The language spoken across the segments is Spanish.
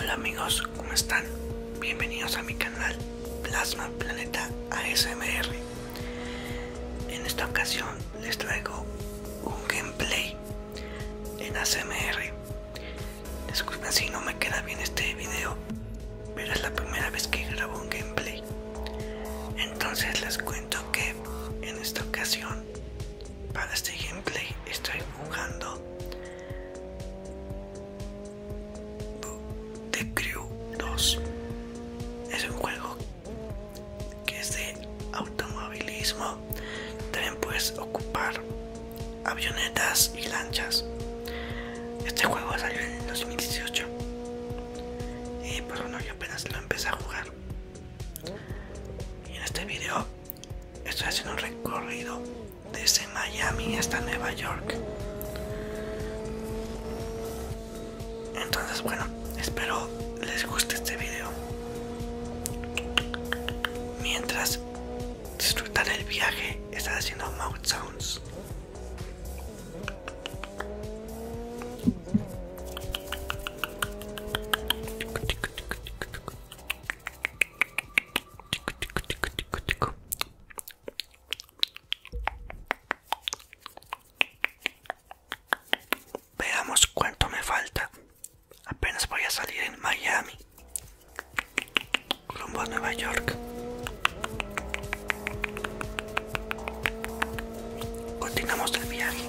Hola amigos, ¿cómo están? Bienvenidos a mi canal Plasma Planeta ASMR. En esta ocasión les traigo un gameplay en ASMR. Disculpen si no me queda bien este video, pero es la primera vez que grabo un gameplay. Entonces les cuento que en esta ocasión para este gameplay estoy jugando The Crew 2 es un juego que es de automovilismo también puedes ocupar avionetas y lanchas este juego salió en 2018 y por pues, no yo apenas lo empecé a jugar y en este video Estoy haciendo un recorrido desde Miami hasta Nueva York. Entonces, bueno, espero les guste este video. Mientras disfrutar el viaje, estás haciendo mouth sounds. Veamos cuánto me falta. Apenas voy a salir en Miami. Rumbo a Nueva York. Continuamos el viaje.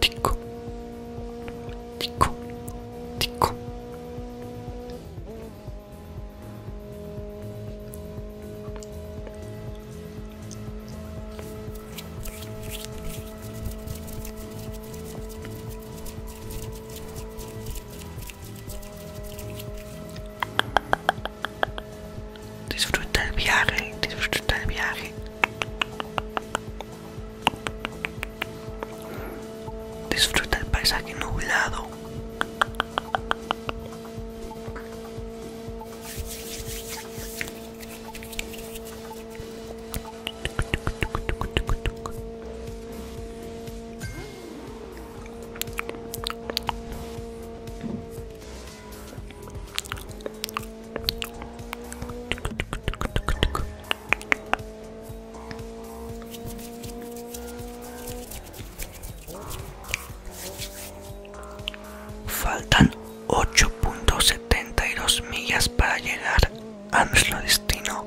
Tico. Tico. Tico. Disfruta el viaje, disfruta el viaje. Disfruta el paisaje nublado. Faltan 8.72 millas para llegar a nuestro destino.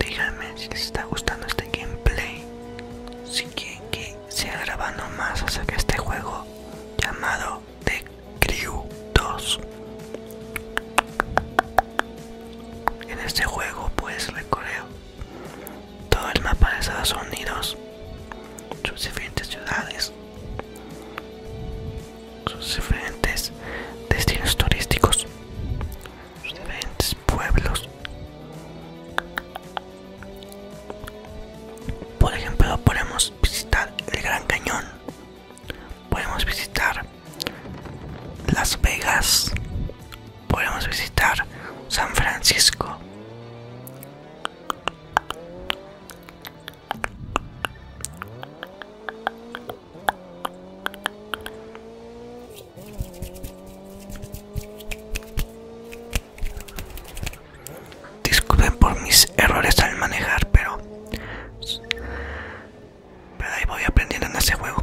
Díganme si les está gustando este gameplay, si quieren que siga grabando más acerca que este juego llamado de Crew 2. En este juego pues recorrer todo el mapa de Estados Unidos, sus diferentes ciudades, sus diferentes destinos turísticos, sus diferentes pueblos. Por ejemplo, podemos visitar el Gran Cañón podemos visitar Las Vegas, podemos visitar San Francisco. Disculpen por mis errores al manejar, pero... Pero ahí voy aprendiendo en ese juego.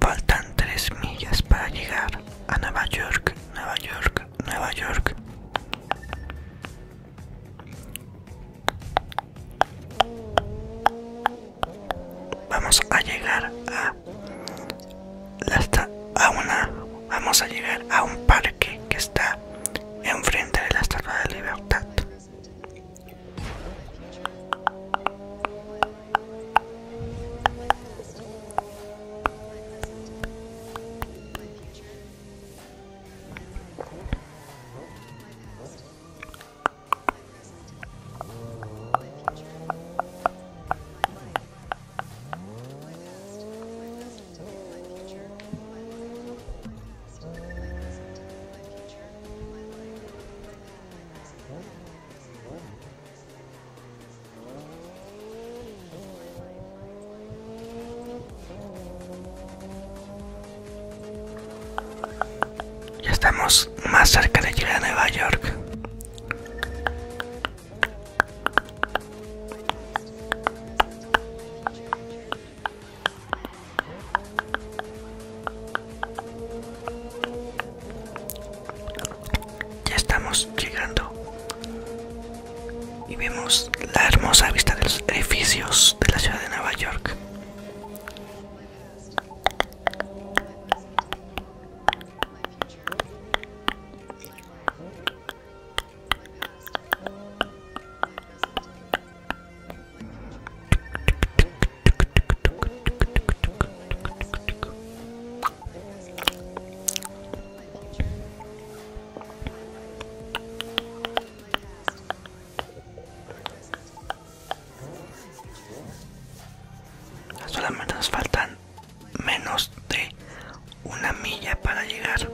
Faltan tres millas para llegar a Nueva York, Nueva York, Nueva York. Vamos a llegar a está una vamos a llegar a un parque que está enfrente de la Estrada de libertad ya estamos más cerca de llegar a Nueva York. Ya estamos llegando y vemos la hermosa vista de los edificios de la ciudad de Nueva York. Solamente nos faltan menos de una milla para llegar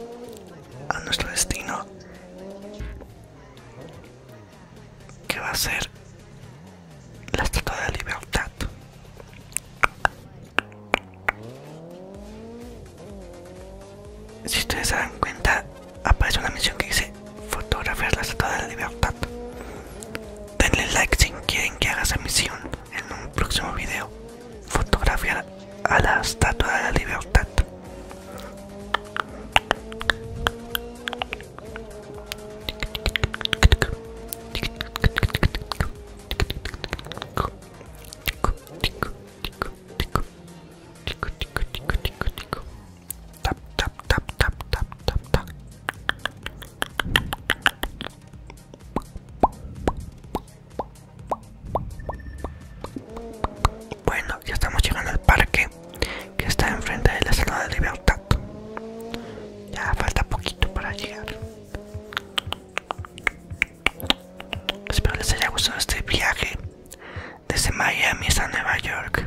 a nuestro destino que va a ser la estatua de la libertad si ustedes se dan cuenta aparece una misión que dice fotografiar la estatua de la libertad denle like si quieren que haga esa misión en un próximo video fotografiar a la estatua de la libertad. Bueno, ya estamos llegando al parque que está enfrente de la sala de libertad. Ya falta poquito para llegar. Espero les haya gustado este viaje desde Miami hasta Nueva York.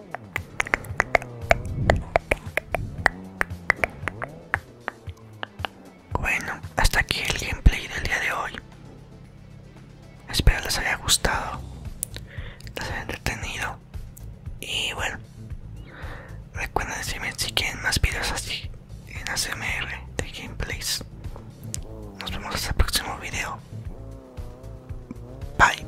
Bueno, hasta aquí el gameplay del día de hoy. Espero les haya gustado, les haya entretenido. Y bueno, recuerden decirme si quieren más videos así en ASMR de gameplays. Nos vemos hasta el próximo video. Bye.